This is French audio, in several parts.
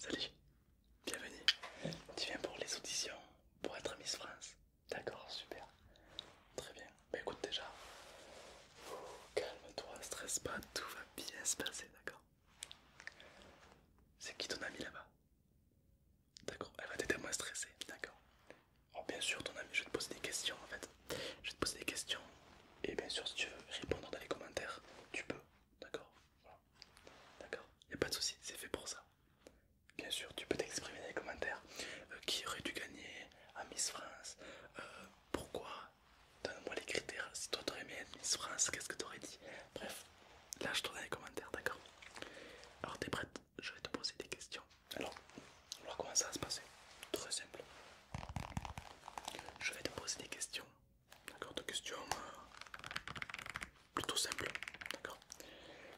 Salut, bienvenue. Tu viens pour les auditions, pour être Miss France. D'accord, super. Très bien. Bah écoute déjà, oh, calme-toi, stresse pas, tout va bien se passer, d'accord c'est qui ton ami là-bas D'accord, elle va t'aider à moins stresser, d'accord bien sûr ton ami, je vais te poser des questions en fait. Je vais te poser des questions et bien sûr si tu veux répondre dans les commentaires, tu peux, d'accord voilà. D'accord, il a pas de souci, c'est fait pour ça. Bien sûr, tu peux t'exprimer dans les commentaires. Euh, qui aurait dû gagner à Miss France euh, Pourquoi Donne-moi les critères. Si toi t'aurais aimé Admise France, qu'est-ce que t'aurais dit Bref, là je dans les commentaires, d'accord Alors t'es prête Je vais te poser des questions. Alors, on va comment ça va se passer Très simple. Je vais te poser des questions. D'accord, de questions euh, plutôt simples, d'accord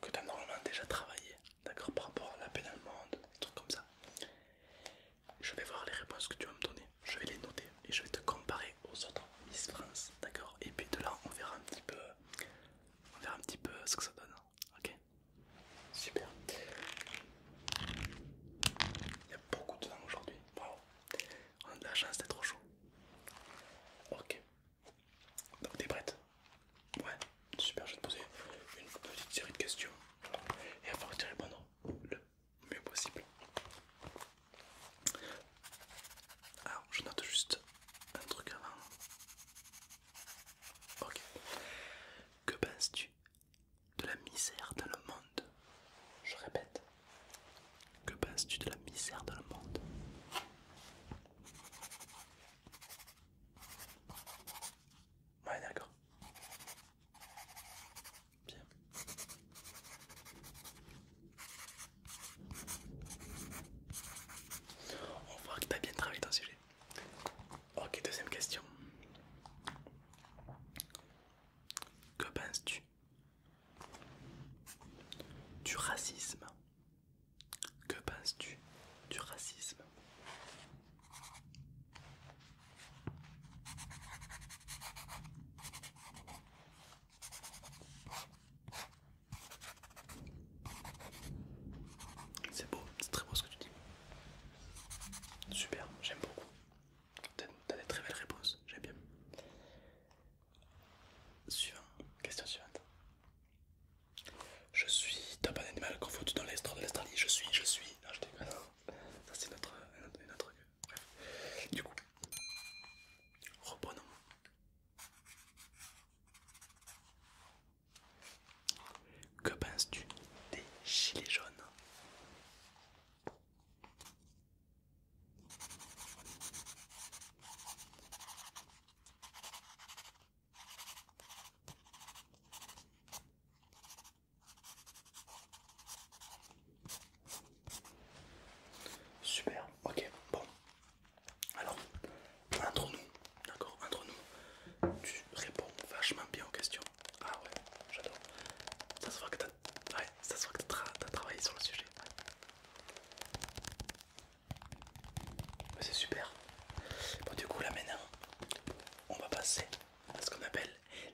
Que tu as normalement déjà travaillé, d'accord Par rapport à la peine allemande, des trucs comme ça. Je vais voir les réponses que tu vas me donner je vais les noter et je vais te comparer aux autres Miss France, d'accord Et puis de là, on verra un petit peu, on verra un petit peu ce que ça donne, ok Super. Il y a beaucoup de vent aujourd'hui. Wow. On a de la chance d'être trop chaud. Ok. Donc t'es prête Ouais. Super. Je vais te poser une petite série de questions et il va falloir que tu répondes le possible. Alors, je note juste un truc avant. Ok. Que penses-tu de la misère dans le monde Je répète. Que penses-tu de la misère dans le monde Ouais, d'accord. Bien. On voit que tu bien travaillé ton sujet. Ok, deuxième question. Que penses-tu du racisme Que penses-tu du racisme c'est beau, c'est très beau ce que tu dis. Super, j'aime beaucoup. T'as des très belles réponses, j'aime bien. Suivant, question suivante. Je suis top un animal confondu dans l'Est de l'Australie. Je suis, je suis. Non, je Ça, c'est notre, notre, notre, du coup, reprenons. Que penses-tu des gilets jaunes Super, ok, bon. Alors, entre nous, d'accord, entre nous, tu réponds vachement bien aux questions. Ah ouais, j'adore. Ça se voit que t'as travaillé sur le sujet. C'est super. Bon, du coup, là maintenant, on va passer à ce qu'on appelle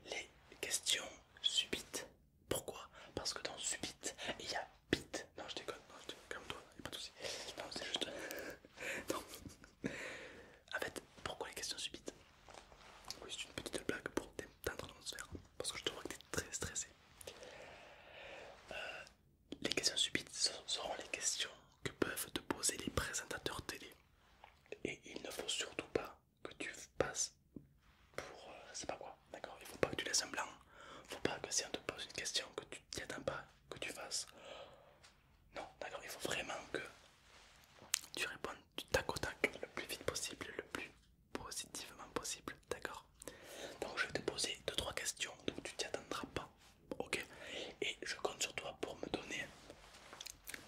les questions subites. Pourquoi Parce que dans subite, il y a bit. Non, je déconne, non, comme toi, il n'y a pas de soucis. Non, c'est juste. Euh, non. En fait, pourquoi les questions subites Oui, c'est une petite blague pour t'entendre dans faire. Parce que je te vois que t'es très stressé. Euh, les questions subites seront les questions que peuvent te poser les présentateurs télé. Et il ne faut surtout pas que tu passes pour euh, c'est pas quoi, d'accord Il faut pas que tu laisses un blanc, faut pas que si on te pose une question que tu t'y attends pas, que tu fasses. Non, d'accord, il faut vraiment que tu répondes du tac au tac le plus vite possible, le plus positivement possible, d'accord Donc je vais te poser 2-3 questions, donc tu t'y attendras pas, ok Et je compte sur toi pour me donner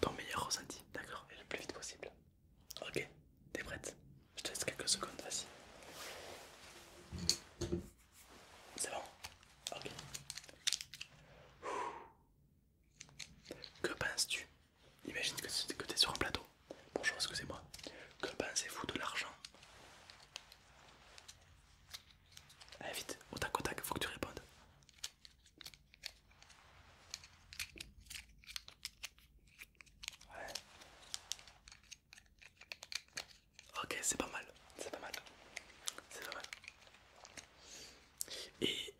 ton meilleur ressenti, d'accord Et le plus vite possible. Ok, t'es prête Je te laisse quelques secondes, vas-y. C'est bon Ok. Que penses-tu Imagine que t'es sur un plateau. Bonjour, excusez-moi. Que pensez-vous de l'argent Allez vite, au tac au tac, faut que tu répondes. Ok, c'est pas mal, c'est pas mal, c'est pas mal. Et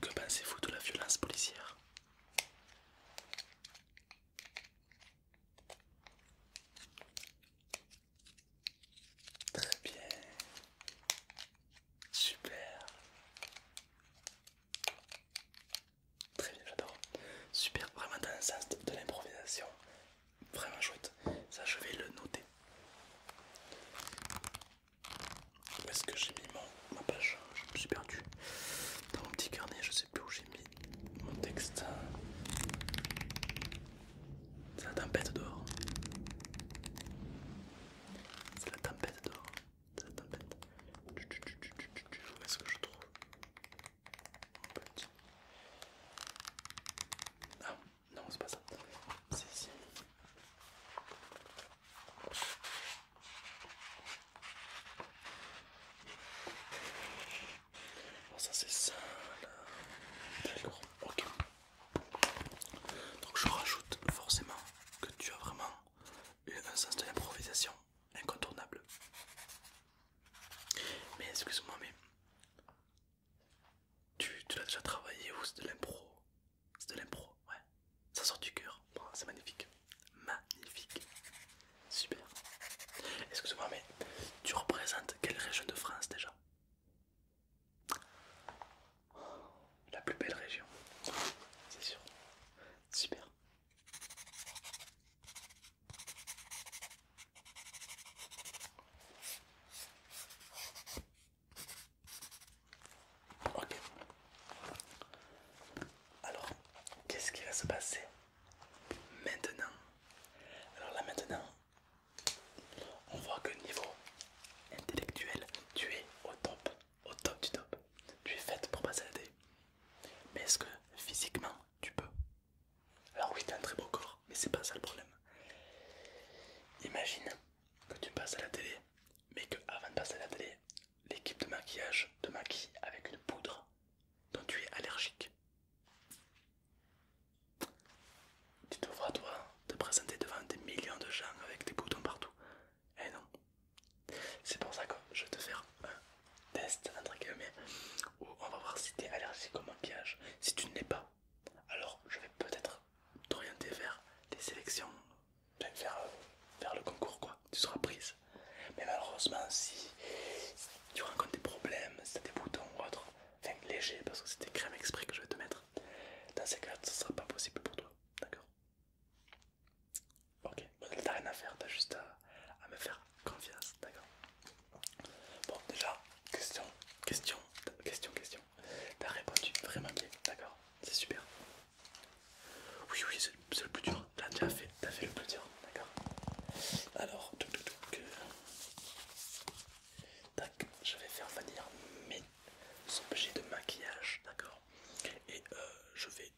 que pensez-vous de la violence policière Très bien. Super. Très bien, j'adore. Super, vraiment dans le sens de, l'improvisation. Vraiment chouette. Ça, je vais le noter. Où est-ce que j'ai mis mon, ma page Je me suis perdu. Dans mon petit carnet, je sais plus où j'ai mis mon texte. C'est la tempête dehors. C'est la tempête dehors tu tempête. Où est-ce que je trouve Mon Ah, non, c'est pas ça. C'est ici. ça c'est ça ok. Donc je rajoute forcément que tu as vraiment un sens de l'improvisation incontournable. Mais excuse-moi, mais tu, as l'as déjà travaillé ou c'est de l'impro C'est de l'impro, ouais. Ça sort du cœur, c'est magnifique. Magnifique. Super. Excuse-moi, mais tu représentes quelle région de France déjà la plus belle région, c'est sûr. Super. Ok. Alors, qu'est-ce qui va se passer maintenant Alors là maintenant, on voit que niveau intellectuel, tu es au top au top du top. Tu es faite pour passer à la télé Mais est-ce que physiquement tu peux Alors oui, tu as un très beau corps, mais c'est pas ça le problème. Imagine que tu passes à la télé, mais que avant de passer à la télé, l'équipe de maquillage te maquille avec une poudre dont tu es allergique. Tu te vois toi te présenter devant des millions de gens avec des boutons partout. Eh non. C'est pour ça que je vais te faire un test, où on va voir si tu es allergique au maquillage. Si tu ne l'es pas, alors je vais peut-être t'orienter vers des sélections, vers, euh, vers le concours, quoi. Tu seras prise. Mais malheureusement, si, tu rencontres des problèmes, si des boutons ou autre, enfin léger, parce que c'est des crèmes exprès que je vais te mettre, dans ces cas, ce ne sera pas possible pour toi. D'accord Ok, t'as rien à faire, t'as juste à, me faire confiance, d'accord Bon, déjà, question, question, question, question. T'as répondu vraiment bien, d'accord C'est super. Oui, oui, c'est le plus dur. Là, déjà fait, as fait le plus dur, d'accord Alors, Tac, je vais faire venir mes objets de maquillage, d'accord et euh, je vais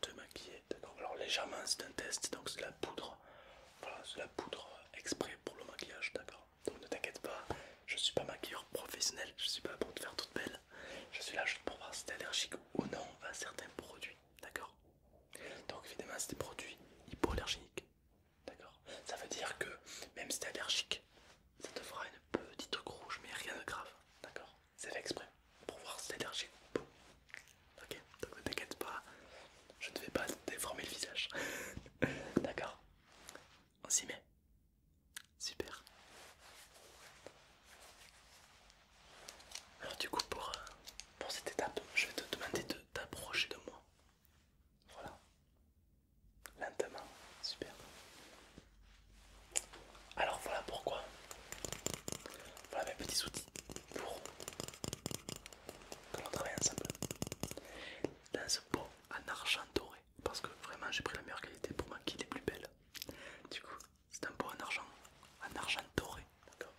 te maquiller. D'accord. Alors légèrement, c'est un test, donc c'est la poudre. la poudre exprès pour le maquillage, d'accord. Donc ne t'inquiète pas, je suis pas maquilleur professionnel, je suis pas là pour te faire toute belle. Je suis là juste pour voir si es allergique ou non à certains produits, d'accord. Donc évidemment, c'est des produits hypoallergéniques, d'accord. Ça veut dire que même si es allergique, ça te fera une petite rouge, mais rien de grave, d'accord C'est fait exprès pour voir si allergique Ok, donc ne t'inquiète pas, je ne vais pas déformer le visage. d'accord On s'y met. Super. Alors du coup pour, euh, pour cette étape, je vais te demander de t'approcher de moi. Voilà lentement, super. Alors voilà pourquoi. Voilà mes petits outils pour que l'on travaille ensemble. Dans ce pot en argent doré, parce que vraiment j'ai pris la meilleure qualité pour moi qui est plus belle. Du coup, c'est un pot en argent, en argent doré, d'accord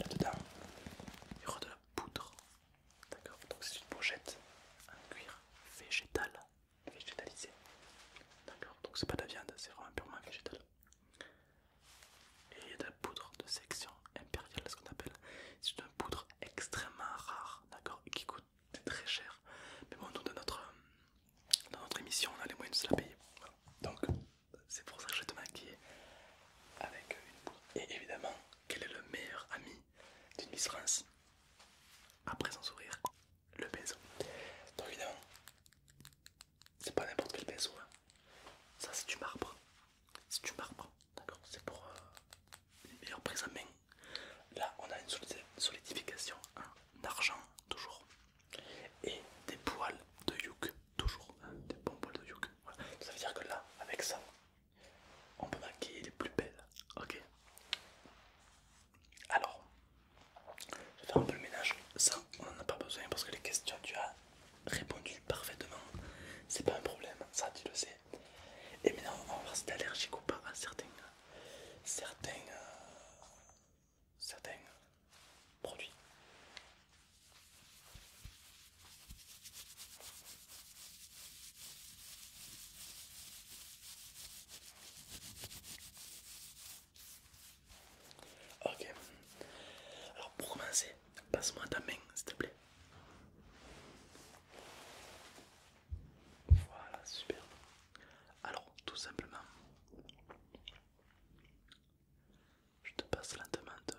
Là-dedans, il y aura de la poudre D'accord Donc c'est une pochette en cuir végétal, végétalisé. D'accord Donc c'est pas de la viande, c'est vraiment purement végétal. Et il y a de la poudre de section impériale, ce qu'on appelle. C'est une poudre extrêmement rare, d'accord Et qui coûte très cher. Mais bon, nous, dans notre, notre émission, on a les moyens de se la payer. Donc c'est pour ça que je te maquille avec une poudre. Et évidemment, quel est le meilleur ami d'une Miss France Après son sourire, le baiser. Donc évidemment, c'est pas n'importe quel baiser. Hein. Ça c'est du marbre. C'est du marbre, d'accord C'est pour euh, une meilleure prise en main. Là on a une solidification en argent, toujours. Et des poils de yuk, toujours. des bons poils de yuk. Ça veut dire que là, avec ça, on peut maquiller les plus belles, ok Alors, je vais faire un peu le ménage, ça on n'en a pas besoin parce que les questions tu as répondu parfaitement, c'est pas un problème, ça tu le sais. Et maintenant on va voir si t'es allergique ou pas à certains, certains euh, produits. Ok, alors pour commencer, passe-moi ta main s'il te plaît. Voilà, super. Alors, tout simplement, je te passe lentement de,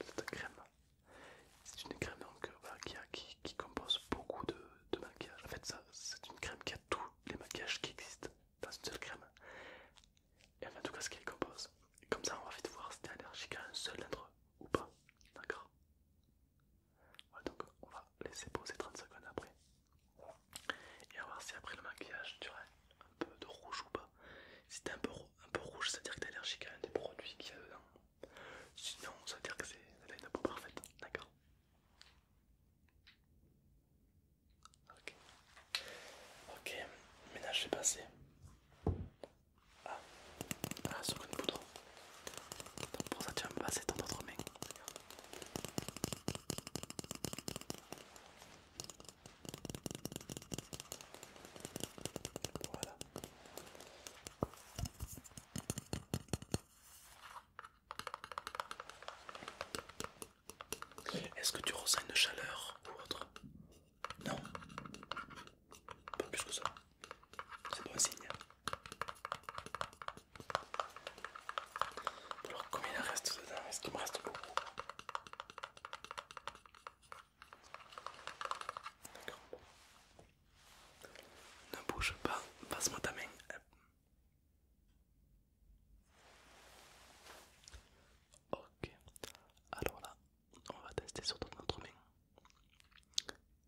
cette, crème. C'est une crème donc, euh, qui, qui, qui compose beaucoup de, de maquillage. En fait, c'est une crème qui a tous les maquillages qui existent dans une seule crème. Et en tout cas, ce qu'elle compose. comme ça, on va vite voir si t'es allergique à un seul d'entre eux ou pas. D'accord Donc, on va laisser poser 30 secondes après. Et on va voir si après le maquillage, tu un peu de rouge ou pas. Si t'es un peu rouge, un peu rouge, ça veut dire que t'es allergique à un des produits qu'il y euh, a dedans. Sinon, ça veut dire que c'est une peau parfaite, d'accord Ok, ok, ménage je vais passer ah sur ah, seconde poudre. Donc pour ça, tu vas me passer ton autre main. Est-ce que tu ressens une chaleur ou autre Non Pas plus que ça. C'est bon signe. Alors combien il reste dedans Est-ce qu'il me reste beaucoup D'accord. Ne bouge pas, passe-moi ta main. Ok, alors là, on va tester sur ton autre main.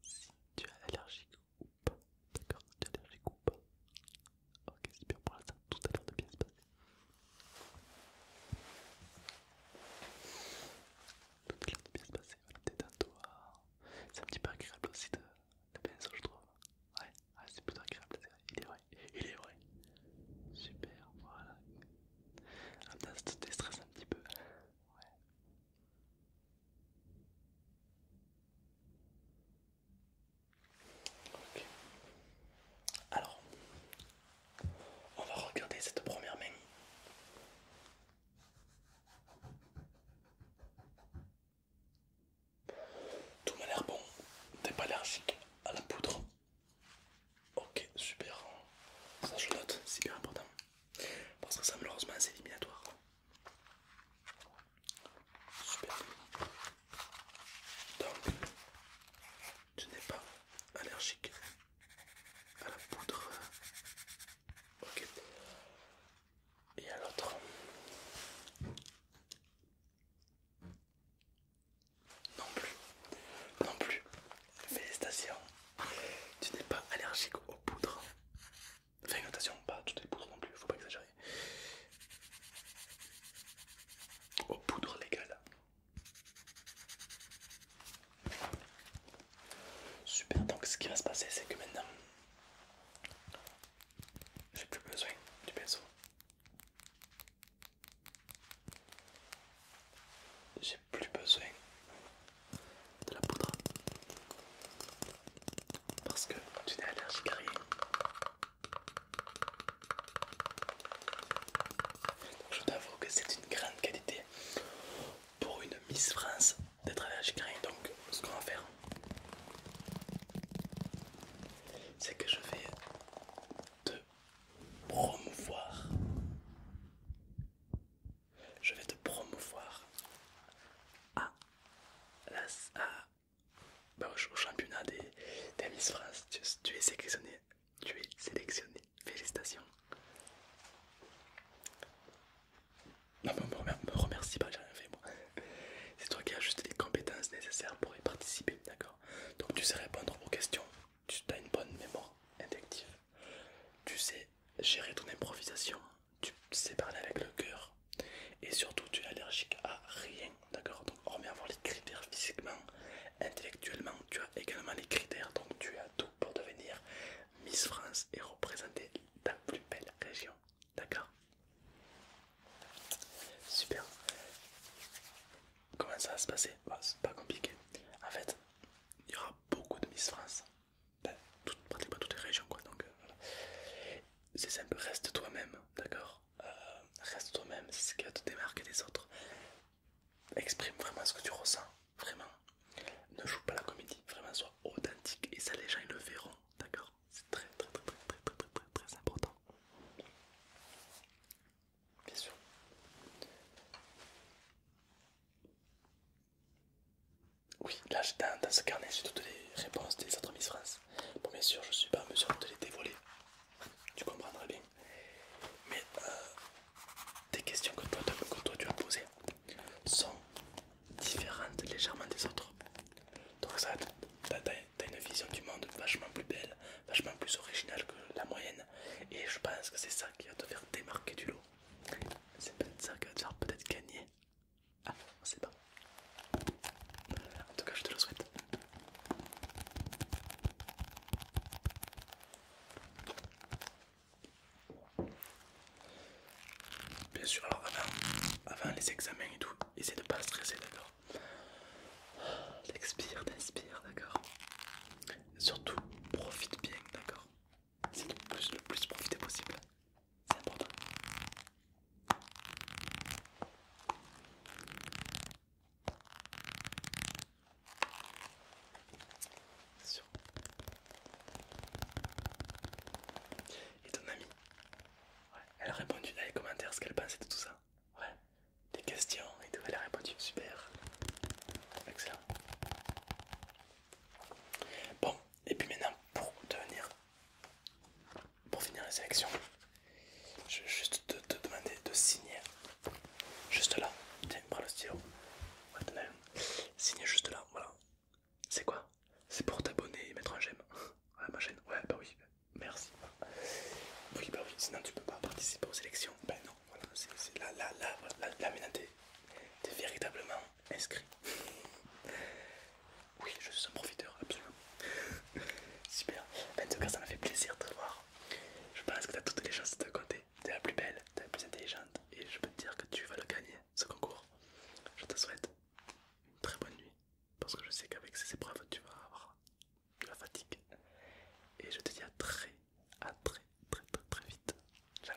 Si tu es allergique ou pas, d'accord, tu as allergique ou pas. Ok, c'est bien pour l'instant, tout à l'heure de bien se passer. Tout est bien se passer, t'es toi C'est un petit peu agréable aussi de, pinceau, je trouve. Ouais, c'est plutôt agréable, il est vrai, il est vrai. Super, voilà. Ah, temps ça te déstresse un petit peu. Ouais. Ok. Alors, on va regarder cette première main. Tout m'a l'air bon. T'es pas allergique à la poudre. Ok, super. Ça je note, c'est important. Parce que ça malheureusement assez éliminatoire. Super. Donc, tu n'es pas allergique à la poudre ok et à l'autre non plus non plus félicitations tu n'es pas allergique aux poudres Enfin, notation, pas toutes les poudres non plus, faut pas exagérer. Aux poudres légales, Super, donc ce qui va se passer c'est que maintenant j'ai plus besoin du pinceau. J'ai plus besoin de la poudre parce que tu es allergique à rien. Je t'avoue que c'est une grande qualité pour une Miss France d'être allergique à Donc, ce qu'on va faire, c'est que je vais te promouvoir. Je vais te promouvoir à bah, au championnat des, Miss France. tu es sélectionné. Tu es sélectionné Félicitations. Non mais me, remercie, pas, j'ai rien fait moi. C'est toi qui as juste les compétences nécessaires pour y participer, d'accord Donc tu sais répondre aux questions, tu as une bonne mémoire inductive, tu sais gérer ton improvisation, tu sais parler avec le cœur et surtout tu es allergique à rien, d'accord Donc hormis voir les critères physiquement, Intellectuellement, tu as également les critères, donc tu as tout pour devenir Miss France et représenter ta plus belle région. D'accord Super. Comment ça va se passer bah, C'est pas compliqué. En fait, il y aura beaucoup de Miss France. Ben, pratiquement toutes les régions, quoi. Donc, euh, voilà. C'est simple, reste toi-même, d'accord euh, Reste toi-même, c'est ce qui va te démarquer des autres exprime vraiment ce que tu ressens, vraiment. Ne joue pas la comédie, vraiment sois authentique et ça les gens ils le verront, d'accord C'est très très très très très très très très important. Bien sûr. Oui, là j'ai dans ce carnet j'ai toutes les réponses des autres Miss France. Bon bien sûr je suis pas en mesure de les dévoiler. Tu comprendras bien mais euh, des questions que toi, tu as posées sont différentes légèrement des autres. Donc ça, t'as une vision du monde vachement plus belle, vachement plus originale que la moyenne. Et je pense que c'est ça qui va te faire démarquer du lot. C'est peut-être ça qui va te faire peut-être gagner. Ah, on sait pas. En tout cas, je te le souhaite. Bien sûr, alors avant, les examens et tout, essaye de pas stresser, d'accord Expire, t'inspires, d'accord Surtout, profite bien, d'accord C'est le plus, le plus profiter possible, c'est important. Et ton amie ouais. Elle a répondu dans les commentaires ce qu'elle pensait de tout ça. Ouais. Des questions et tout. Elle a répondu. Super. Excellent. Bon, et puis maintenant pour venir, pour finir la sélection, je vais juste te demander de signer Juste là. Tiens, prends le stylo. Ouais, t'en as un. Signe juste là, voilà. C'est quoi C'est pour t'abonner et mettre un j'aime à ma chaîne. Ouais, bah oui, merci. Oui, bah oui, sinon tu peux pas participer aux élections. Ben non, voilà, c'est là, là, là, là, maintenant t'es véritablement inscrit. Oui, je suis un profiteur, absolument. Super. Ben, en tout cas, ça m'a fait plaisir de te voir. Je pense que t'as toutes les chances de te compter t'es la plus belle, t'es la plus intelligente et je peux te dire que tu vas le gagner, ce concours. Je te souhaite une très bonne nuit parce que je sais qu'avec ces épreuves tu vas avoir de la fatigue. Et je te dis à très, à très, très, très, très vite. Ciao.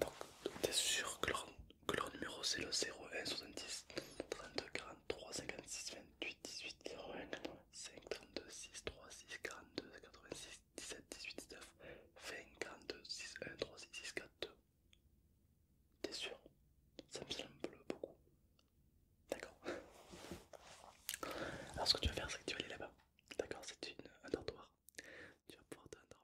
Donc, t'es sûr que leur, numéro c'est le 01 70 32 43 56 28 18 01 5 32 6 3 6 42 86 17 18 19 20 42 6 1 3 6 6 4 2. T'es sûr Ça me semble beaucoup. D'accord. Alors, ce que tu vas faire, c'est que tu vas aller là-bas. D'accord, c'est un dortoir. Tu vas pouvoir t'endormir.